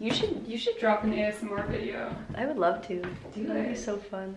You should you should drop an ASMR video. I would love to. Do that would be so fun.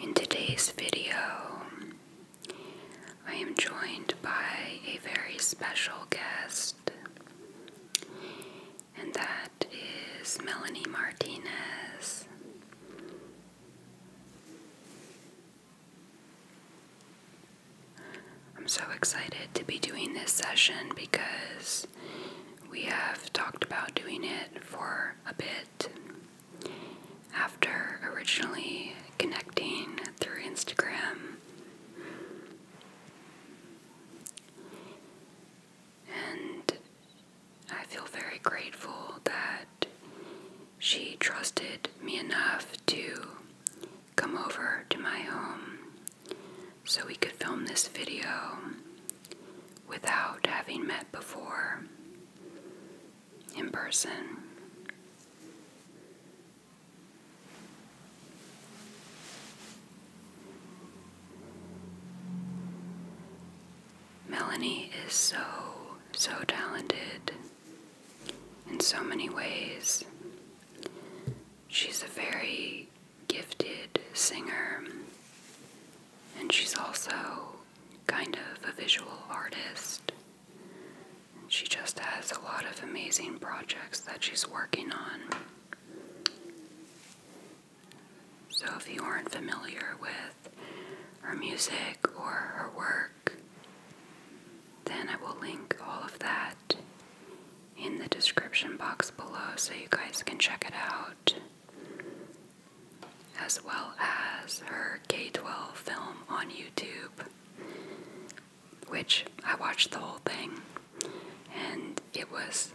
In today's video, I am joined by a very special guest, and that is Melanie Martinez. I'm so excited to be doing this session because we have talked about doing it for a bit after originally connecting through Instagram. And I feel very grateful that she trusted me enough to come over to my home so we could film this video without having met before in person. Melanie is so, so talented in so many ways. She's a very gifted singer. And she's also kind of a visual artist. She just has a lot of amazing projects that she's working on. So, if you aren't familiar with her music or her work, then I will link all of that in the description box below so you guys can check it out as well as her K 12 film on YouTube, which I watched the whole thing, and it was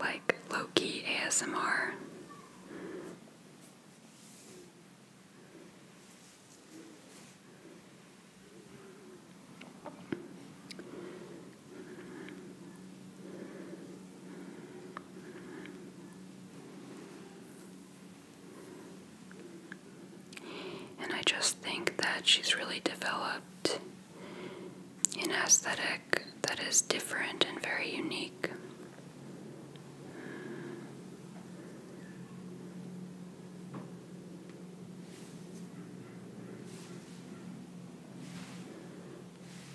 like low key ASMR. And I just think that she's really developed an aesthetic that is different and very unique.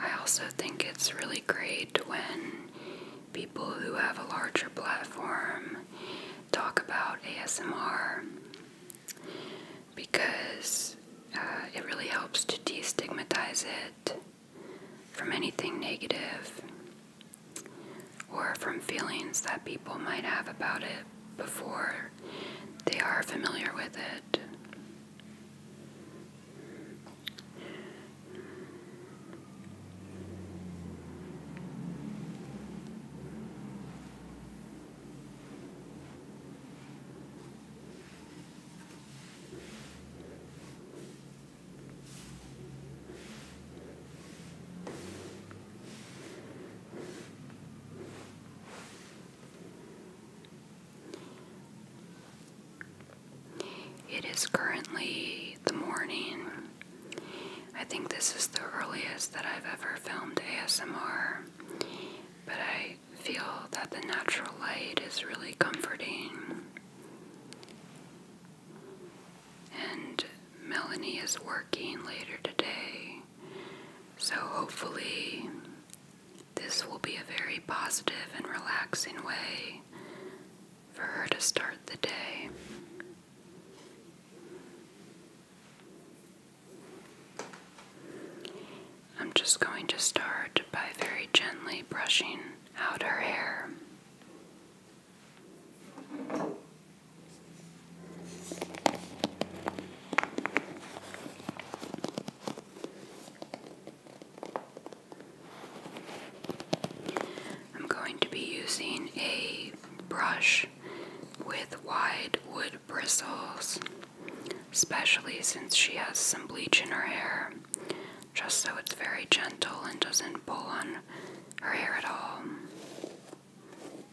I also think it's really great when people who have a larger platform talk about ASMR because uh, it really helps to destigmatize it from anything negative or from feelings that people might have about it before they are familiar with it. It is currently the morning. I think this is the earliest that I've ever filmed ASMR, but I feel that the natural light is really comforting. And Melanie is working later today, so, hopefully, this will be a very positive and relaxing way for her to start the day. I'm just going to start by very gently brushing out her hair. I'm going to be using a brush with wide wood bristles, especially since she has some bleach in her hair, just so it's very gentle and doesn't pull on her hair at all.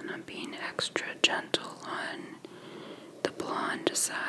And I'm being extra gentle on the blonde side.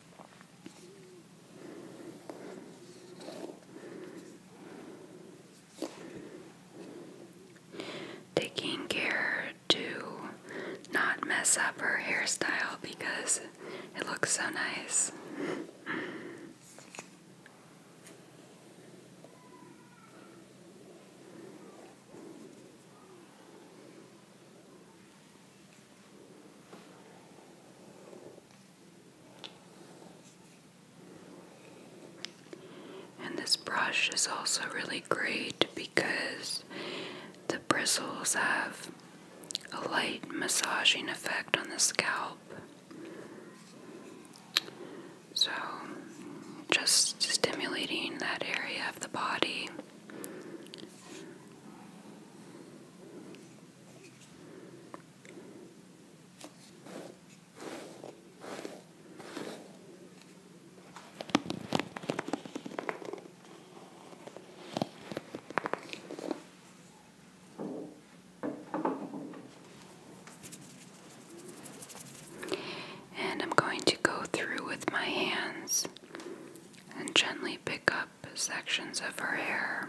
Taking care to not mess up her hairstyle because it looks so nice. And this brush is also really great because the bristles have a light massaging effect on the scalp. So, just stimulating that area of the body. And I'm going to go through with my hands and gently pick up sections of her hair.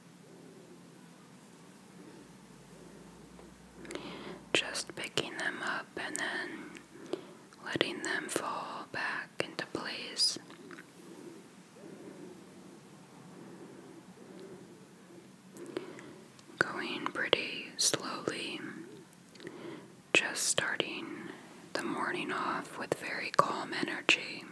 Just picking them up and then letting them fall back into place. Going pretty slowly, just starting the morning off with very calm energy.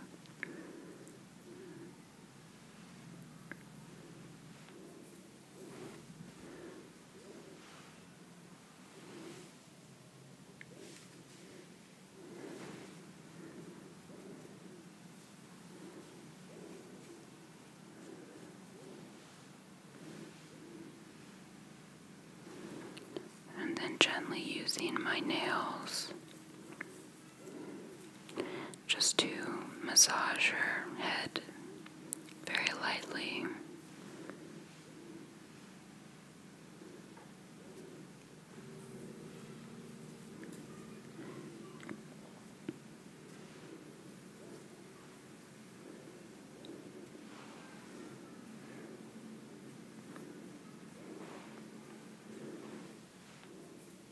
And then gently using my nails just to massage your head very lightly.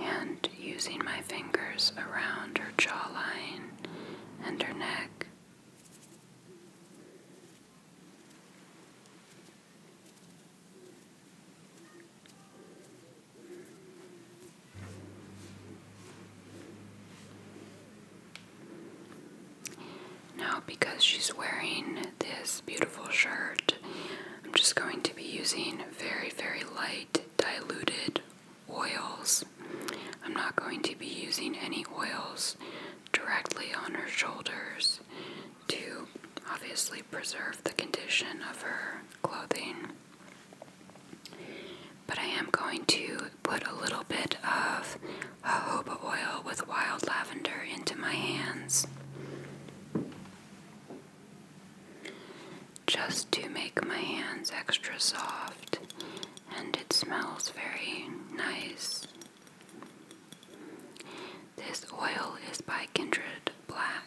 and using my fingers around her jawline and her neck. Now, because she's wearing this beautiful shirt, I'm just going to be using very, very light diluted oils. I'm not going to be using any oils directly on her shoulders to obviously preserve the condition of her clothing. But I am going to put a little bit of jojoba oil with wild lavender into my hands just to make my hands extra soft, and it smells very nice. This oil is by Kindred Black.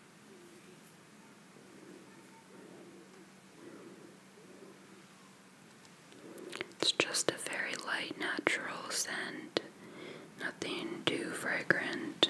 It's just a very light natural scent, nothing too fragrant.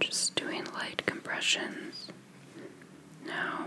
Just doing light compressions now.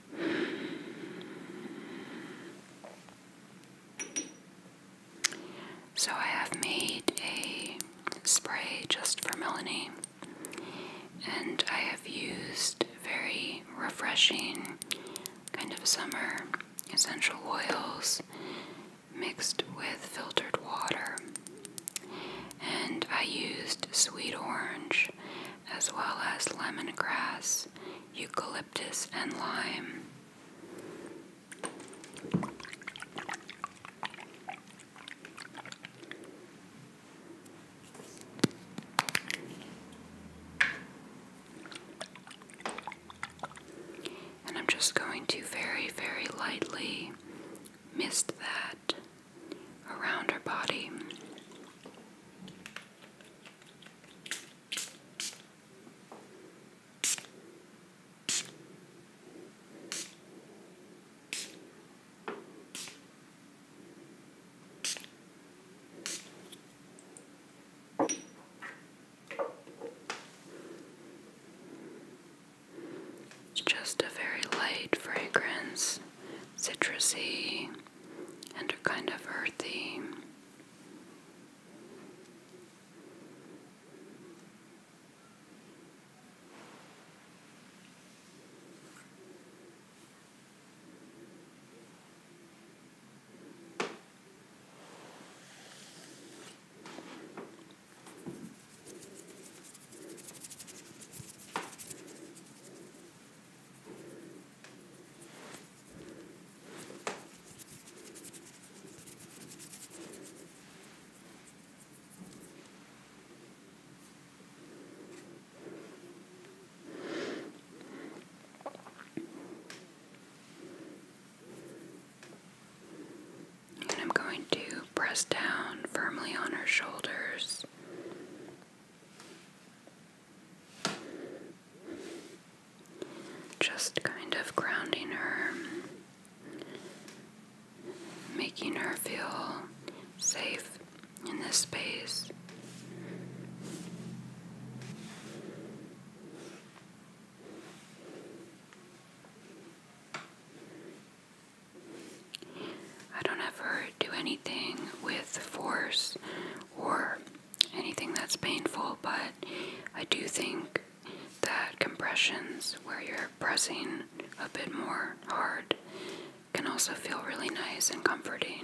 So I have made a spray just for Melanie, and I have used very refreshing kind of summer essential oils mixed with filtered water. And I used sweet orange as well as lemongrass, eucalyptus, and lime. And I'm just going to very, very lightly mist that around her body. It's just a very light fragrance citrusy and are kind of earthy. And I'm going to press down firmly on her shoulders just kind of grounding her, making her feel safe in this space. I don't ever do anything with force or anything that's painful, but I do think that compressions where you're pressing a bit more hard can also feel really nice and comforting.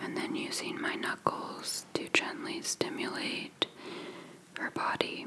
And then using my knuckles to gently stimulate her body.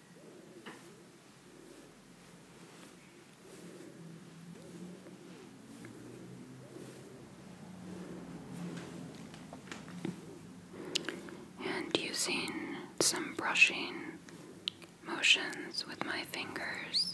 And using some brushing motions with my fingers.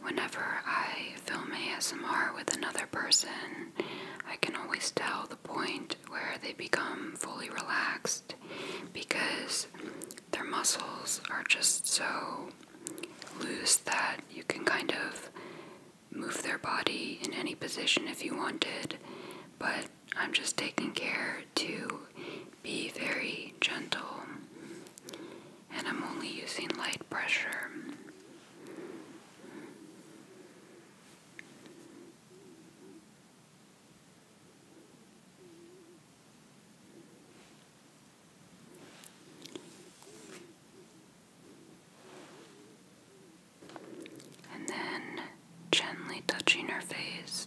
Whenever I film ASMR with another person, I can always tell the point where they become fully relaxed because their muscles are just so loose that you can kind of move their body in any position if you wanted. But I'm just taking care to be very gentle and I'm only using light pressure. And then gently touching her face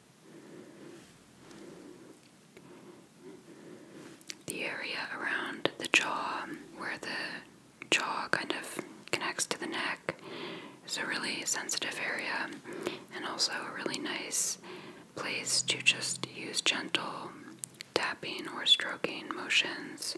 The area around the jaw, where the jaw kind of connects to the neck, is a really sensitive area and also a really nice place to just use gentle tapping or stroking motions.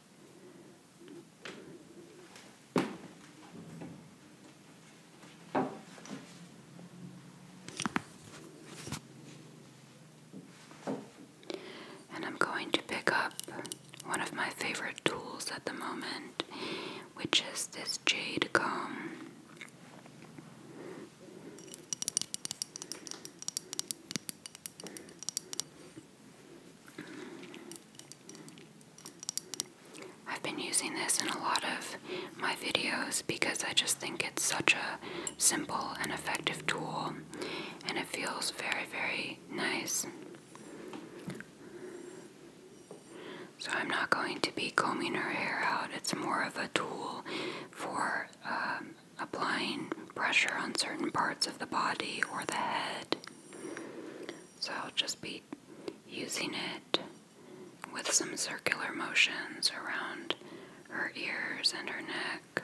And I'm going to pick up one of my favorite tools at the moment, which is this jade comb. I've been using this in a lot of my videos because I just think it's such a simple and effective tool and it feels very, very nice. So I'm not going to be combing her hair out, it's more of a tool for um, applying pressure on certain parts of the body or the head. So I'll just be using it with some circular motions around her ears and her neck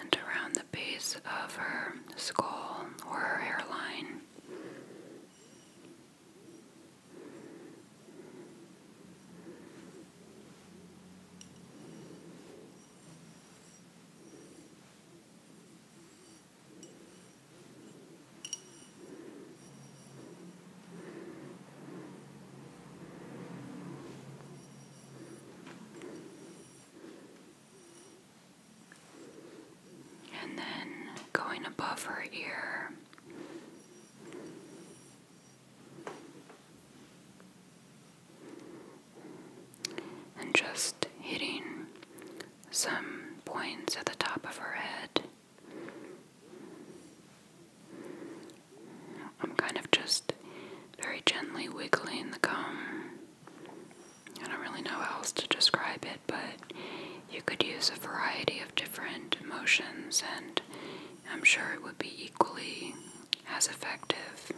and around the base of her skull or her hairline. And then going above her ear. And just hitting some points at the top of her head. I'm kind of just very gently wiggling the gum. I don't really know how else to describe it, but you could use a variety of different motions, and I'm sure it would be equally as effective.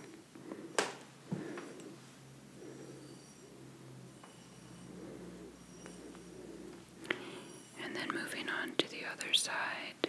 And then moving on to the other side.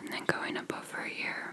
And then going up over here.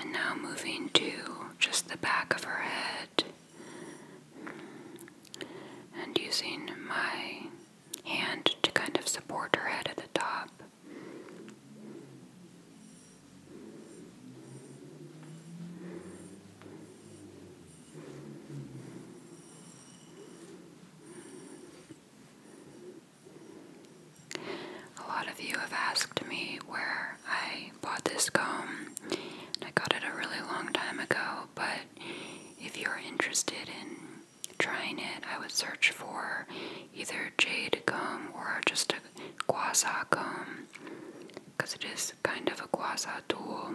And now moving to just the back of her head and using my hand to kind of support her head at the top. A lot of you have asked me where I bought this comb, and I got it a really long time ago, but if you're interested in trying it, I would search for either jade comb or just a guasa comb, because it is kind of a guasa tool.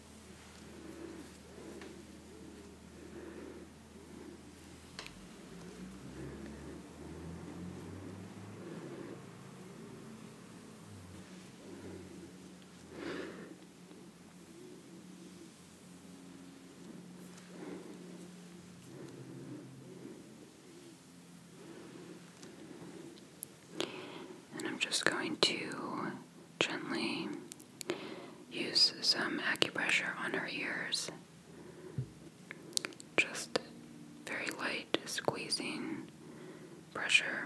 And I'm just going to gently use some acupressure on her ears. Just very light squeezing pressure.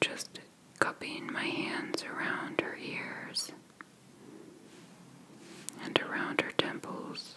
Just cupping my hands around her ears and around her temples.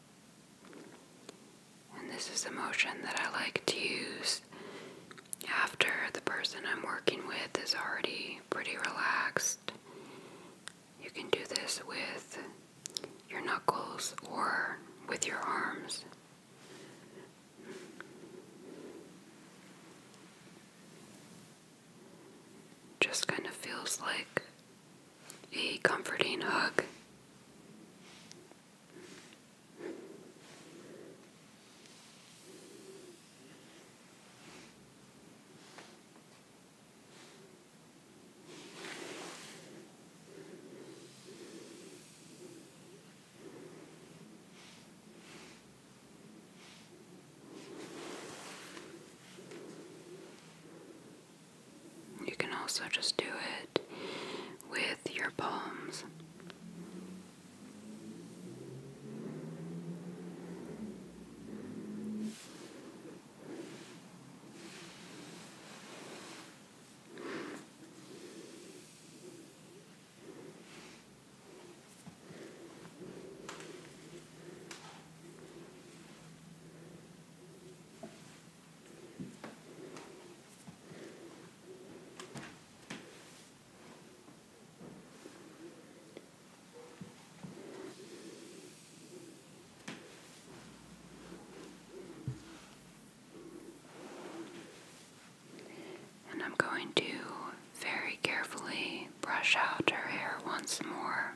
And this is a motion that I like to use after the person I'm working with is already pretty relaxed. You can do this with your knuckles or with your arms. Just kind of feels like a comforting hug. You can also just do it with your palms. And I'm going to very carefully brush out her hair once more.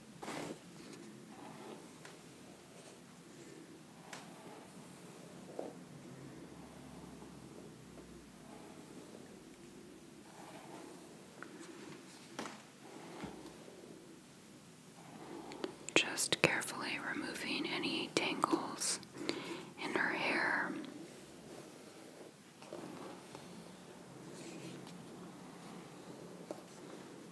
Just carefully removing any tangles in her hair.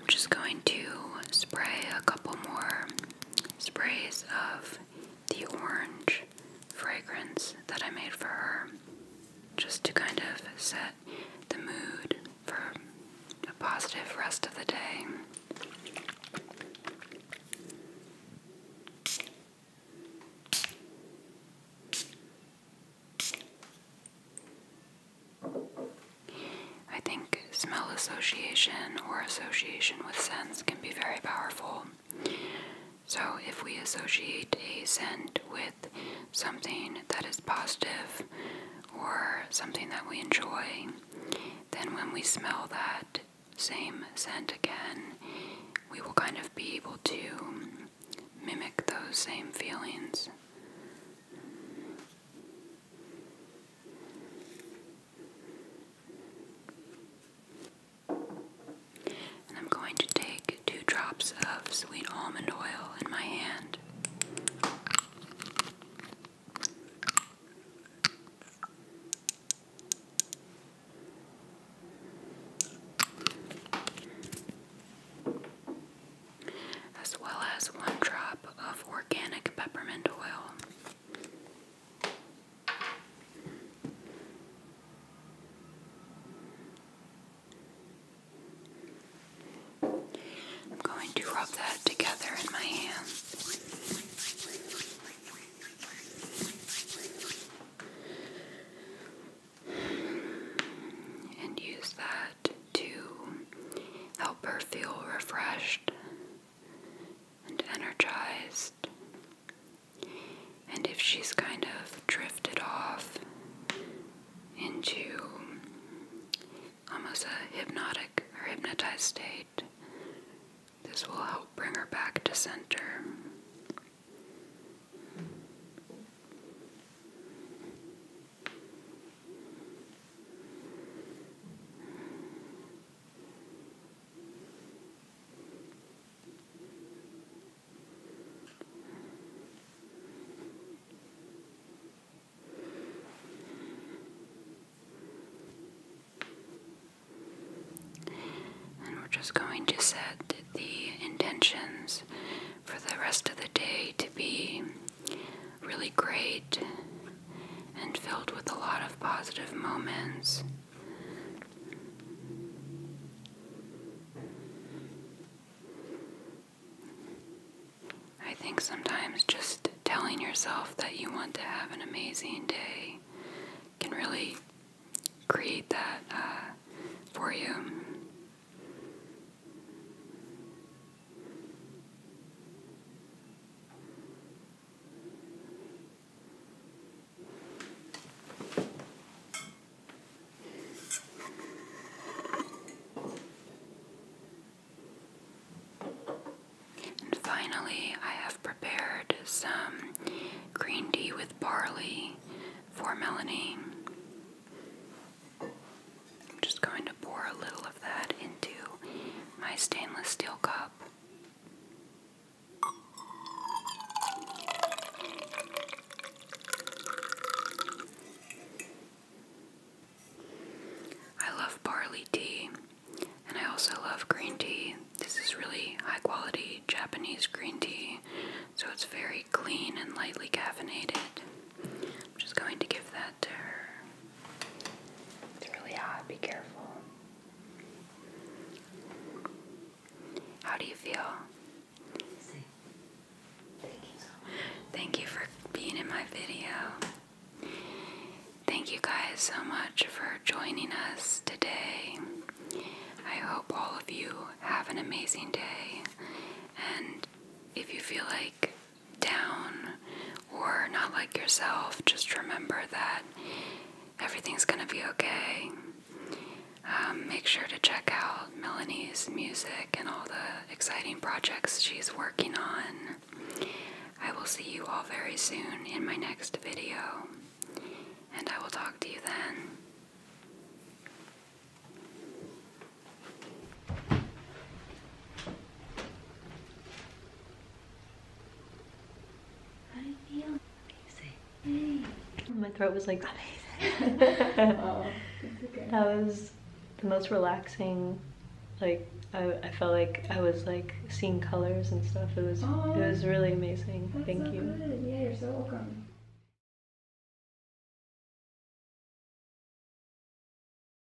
I'm just going to spray a couple more sprays of the orange fragrance that I made for her just to kind of set the mood for a positive rest of the day. I think smell association or association with scents can be very powerful. So, if we associate a scent with something that is positive or something that we enjoy, then when we smell that same scent again, we will kind of be able to mimic those same feelings. I'm going to take two drops of sweet almond oil in my hand as well as one drop of organic peppermint oil. I'm going to rub that together in my hands. And use that to help her feel refreshed and energized. And if she's kind of drifted off into almost a hypnotic or hypnotized state, this will help bring her back to center. And we're just going to set the intentions for the rest of the day to be really great and filled with a lot of positive moments. I think sometimes just telling yourself that you want to have an amazing day can really create that uh, for you. And finally, I have prepared some green tea with barley for Melanie. I'm just going to pour a little of that into my stainless steel cup. I love barley tea and I also love green tea. This is really high quality Japanese green tea, so it's very clean and lightly caffeinated. I'm just going to give that to her. It's really hot, be careful. How do you feel? Thank you for being in my video. Thank you guys so much for joining us today. I hope all of you have an amazing day. And if you feel like down or not like yourself, just remember that everything's going to be okay. Um, make sure to check out Melanie's music and all the exciting projects she's working on. I will see you all very soon in my next video, and I will talk to you then. How do you feel? Amazing. My throat was like amazing. That was the most relaxing. Like I, felt like I was like seeing colors and stuff. It was it was oh, really amazing. Thank you. Yeah, you're so welcome.